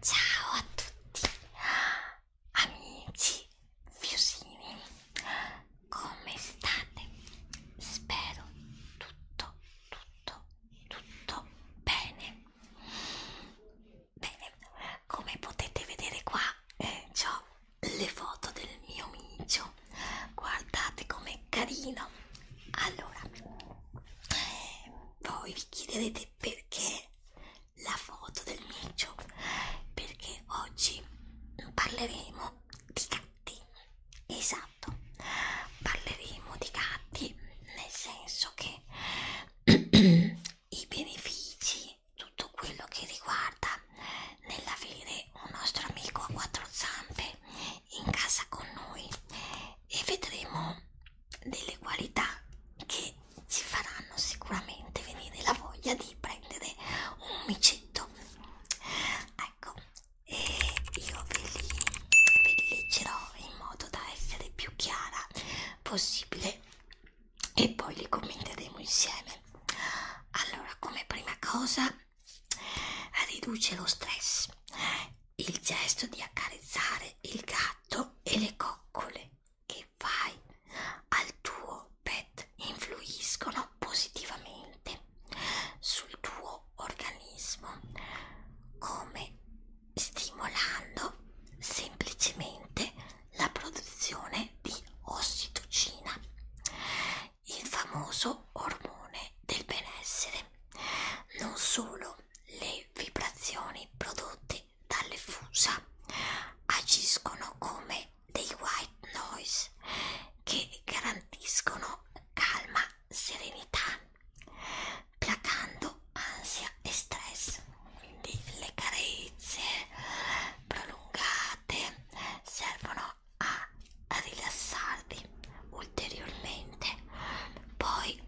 Ciao a tutti amici fiusini, come state? Spero tutto, tutto, tutto bene. Bene, come potete vedere qua eh, ho le foto del mio micio guardate com'è carino allora voi vi chiederete perché la foto del micio perché oggi parleremo di gatti esatto parleremo di gatti nel senso che i benefici tutto quello che riguarda nell'avere un nostro amico a quattro zampe in casa con noi e vedremo delle qualità che ci faranno sicuramente venire la voglia di prendere un micetto ecco e io ve li, ve li leggerò in modo da essere più chiara possibile e poi li commenteremo insieme allora come prima cosa riduce lo stress. Il gesto di accarezzare il gatto e le coccole che fai al tuo pet influiscono positivamente sul tuo organismo, come stimolando semplicemente la produzione di ossitocina il famoso ormone del benessere. Non solo le vibrazioni prodotte dalle fusa agiscono come dei white noise che garantiscono calma, serenità, placando ansia e stress. Quindi le carezze prolungate servono a, a rilassarvi ulteriormente poi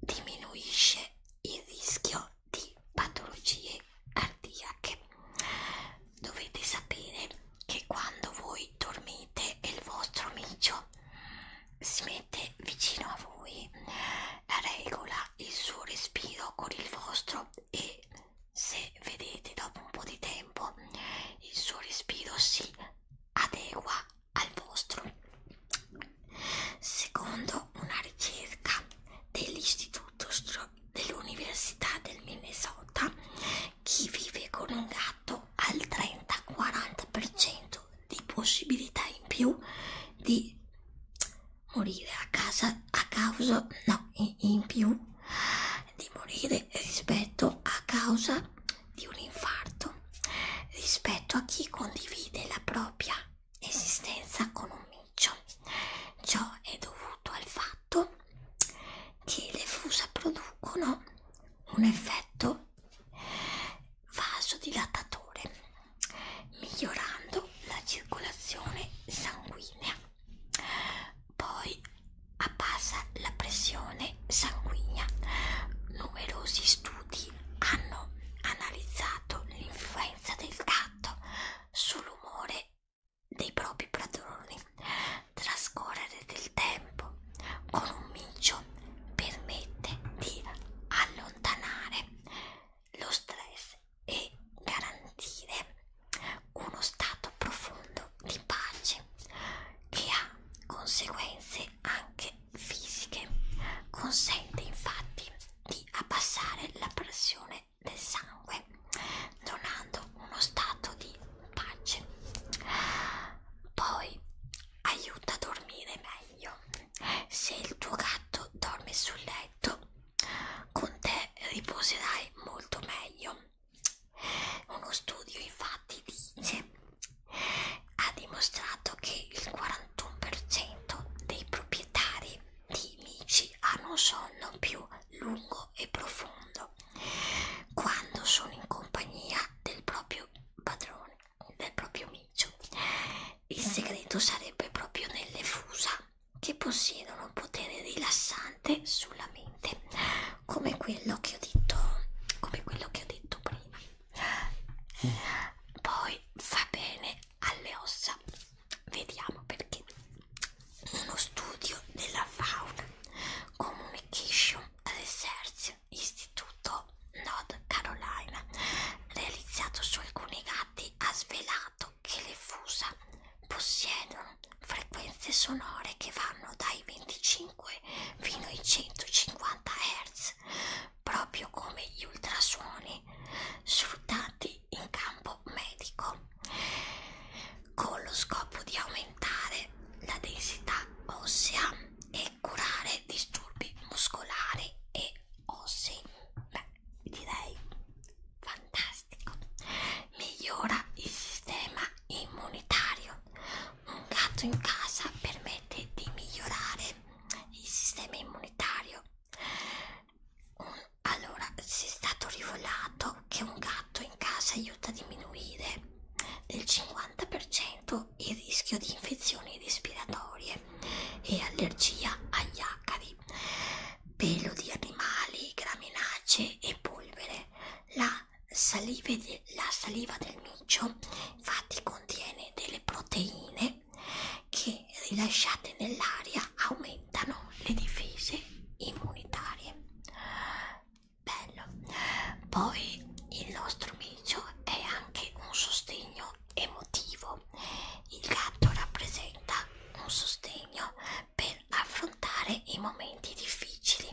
diminuisce il rischio di patologie cardiache dovete sapere che quando voi dormite e il vostro amico si mette vicino a voi regola il suo respiro con il vostro e se vedete dopo un po' di tempo il suo respiro si adegua al vostro. Secondo una ricerca dell'istituto dell'Università del Minnesota, chi vive con un gatto ha il 30-40% di possibilità in più di morire a casa a causa no in più di morire rispetto a causa di un infarto rispetto a chi condivide la propria esistenza con un micio. Ciò è dovuto al fatto che le fusa producono un effetto vasodilatatore, migliorando la circolazione sanguinea. Poi abbassa la pressione sanguigna. Numerosi studi hanno analizzato l'influenza del gatto sull'umore dei propri padroni. Trascorrere del tempo con un micio permette di allontanare lo stress e garantire uno stato profondo di pace che ha conseguenze e anche fisiche. Consente infatti di abbassare la pressione del sangue, donando uno stato di pace. Poi aiuta a dormire meglio. Se il tuo gatto dorme sul letto, con te riposerai molto meglio uno studio infatti dice ha dimostrato che il 41% dei proprietari di mici hanno un sonno più lungo e profondo quando sono in compagnia del proprio padrone, del proprio micio. Il segreto sarebbe proprio nelle fusa che possiedono un potere rilassante sulla mente, come quello che ho detto, come quello che ho detto prima poi fa bene alle ossa vediamo perché uno studio della fauna communication research istituto North Carolina realizzato su alcuni gatti ha svelato che le fusa possiedono frequenze sonore che vanno dai 25 25 fino ai 150 Hz, proprio come gli ultrasuoni sfruttati in campo medico, con lo scopo di aumentare la densità ossea e curare disturbi muscolari e ossei. Beh, direi fantastico. Migliora il sistema immunitario, un gatto in casa permette di migliorare il sistema immunitario. Un, allora, si è stato rivelato che un gatto in casa aiuta a diminuire del 50% il rischio di infezioni respiratorie e allergia agli acari, pelo di animali, graminacee e polvere. La la saliva, de, la saliva del micio infatti contiene delle proteine che rilasciate nell'aria aumentano le difese immunitarie bello poi il nostro micio è anche un sostegno emotivo il gatto rappresenta un sostegno per affrontare i momenti difficili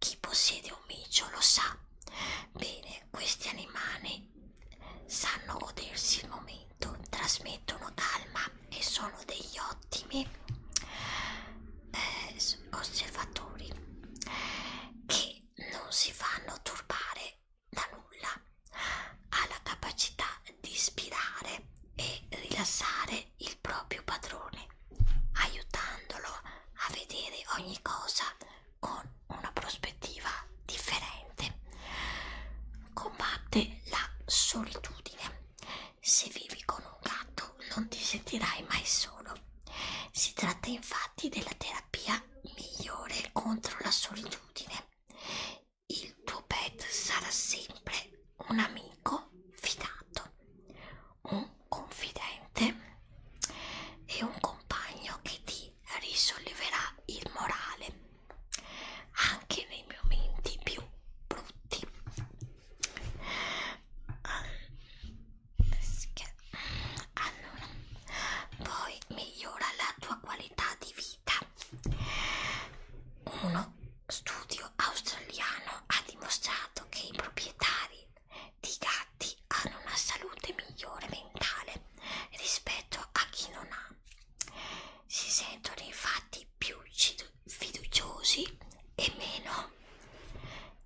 chi possiede un micio lo sa. Bene, questi animali sanno godersi il momento, trasmettono calma e sono degli ottimi eh, osservatori che non si fanno turbare da nulla. Ha la capacità di ispirare e rilassare il proprio padrone, aiutandolo a vedere ogni cosa con una prospettiva differente. Combatte la solitudine. Se vivi con un gatto non ti sentirai mai solo. Si tratta infatti della terapia migliore contro la solitudine. Il tuo pet sarà sempre un amico fidato un confidente e un compagno che ti risolleverà il morale anche nei momenti più brutti allora poi migliora la tua qualità di vita uno studio australiano ha dimostrato che i proprietari di gatti hanno una salute migliore mentale rispetto a chi non ha. Si sentono infatti più fiduciosi e meno,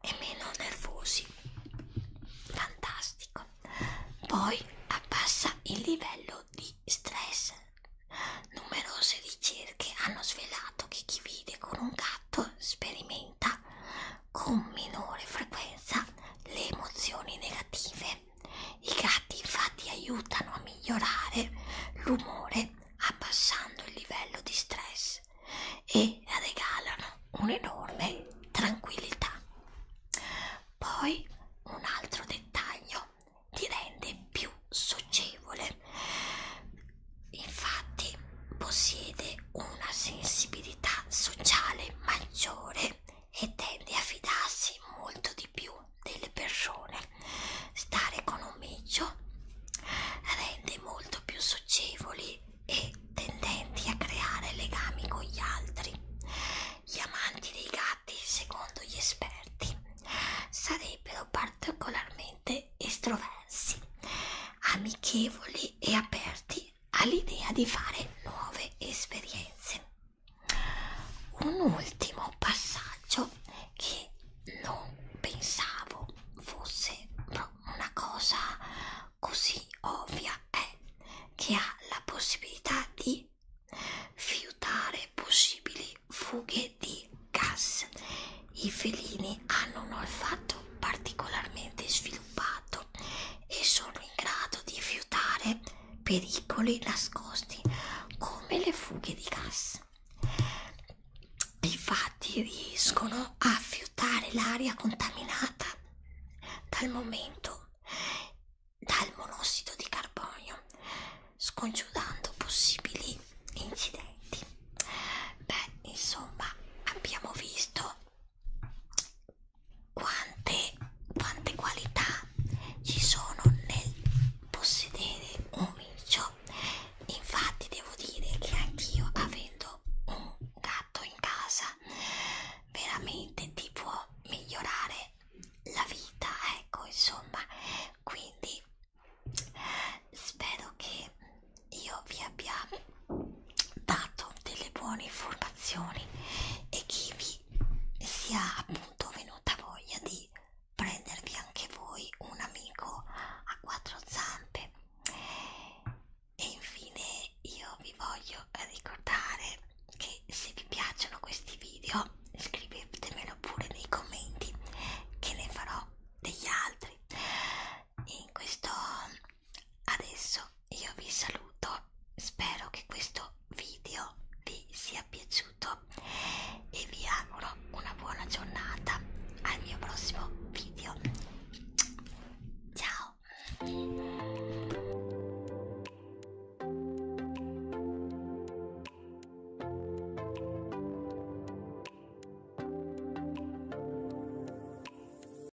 e meno nervosi. Fantastico. Poi abbassa il livello di stress. Numerose ricerche hanno svelato che chi vive con un gatto sperimenta aumenta con minore frequenza le emozioni negative. I gatti infatti aiutano a migliorare l'umore abbassando il livello di stress e regalano un'enorme tranquillità. Poi un altro dettaglio ti rende più socievole. Infatti possiede una sensibilità sociale maggiore e tende a fidarsi molto di più delle persone. Stare con un micio rende molto più socievoli e tendenti a creare legami con gli altri. Gli amanti dei gatti, secondo gli esperti, sarebbero particolarmente estroversi, amichevoli e aperti all'idea di fare nuove esperienze. Un ultimo passaggio che non pensavo fosse una cosa così ovvia è che ha la possibilità di fiutare possibili fughe di gas. I felini hanno un olfatto particolarmente sviluppato stato e sono in grado di fiutare pericoli nascosti come le fughe di gas. Infatti riescono a fiutare l'aria contaminata dal momento dal monossido di carbonio, scongiurando possibili incidenti. Beh, insomma, abbiamo visto quante, quante qualità ci sono nel possedere un micio infatti devo dire che anch'io avendo un gatto in casa veramente ti può migliorare la vita ecco insomma quindi spero che io vi abbia dato delle buone informazioni e che vi sia appunto venuta voglia di prendervi anche voi un amico a quattro zampe e infine io vi voglio ricordare che se vi piacciono questi video scrivetemelo pure nei commenti che ne farò degli altri in questo adesso io vi saluto spero che questo video vi sia piaciuto e vi auguro una buona giornata al mio prossimo video ciao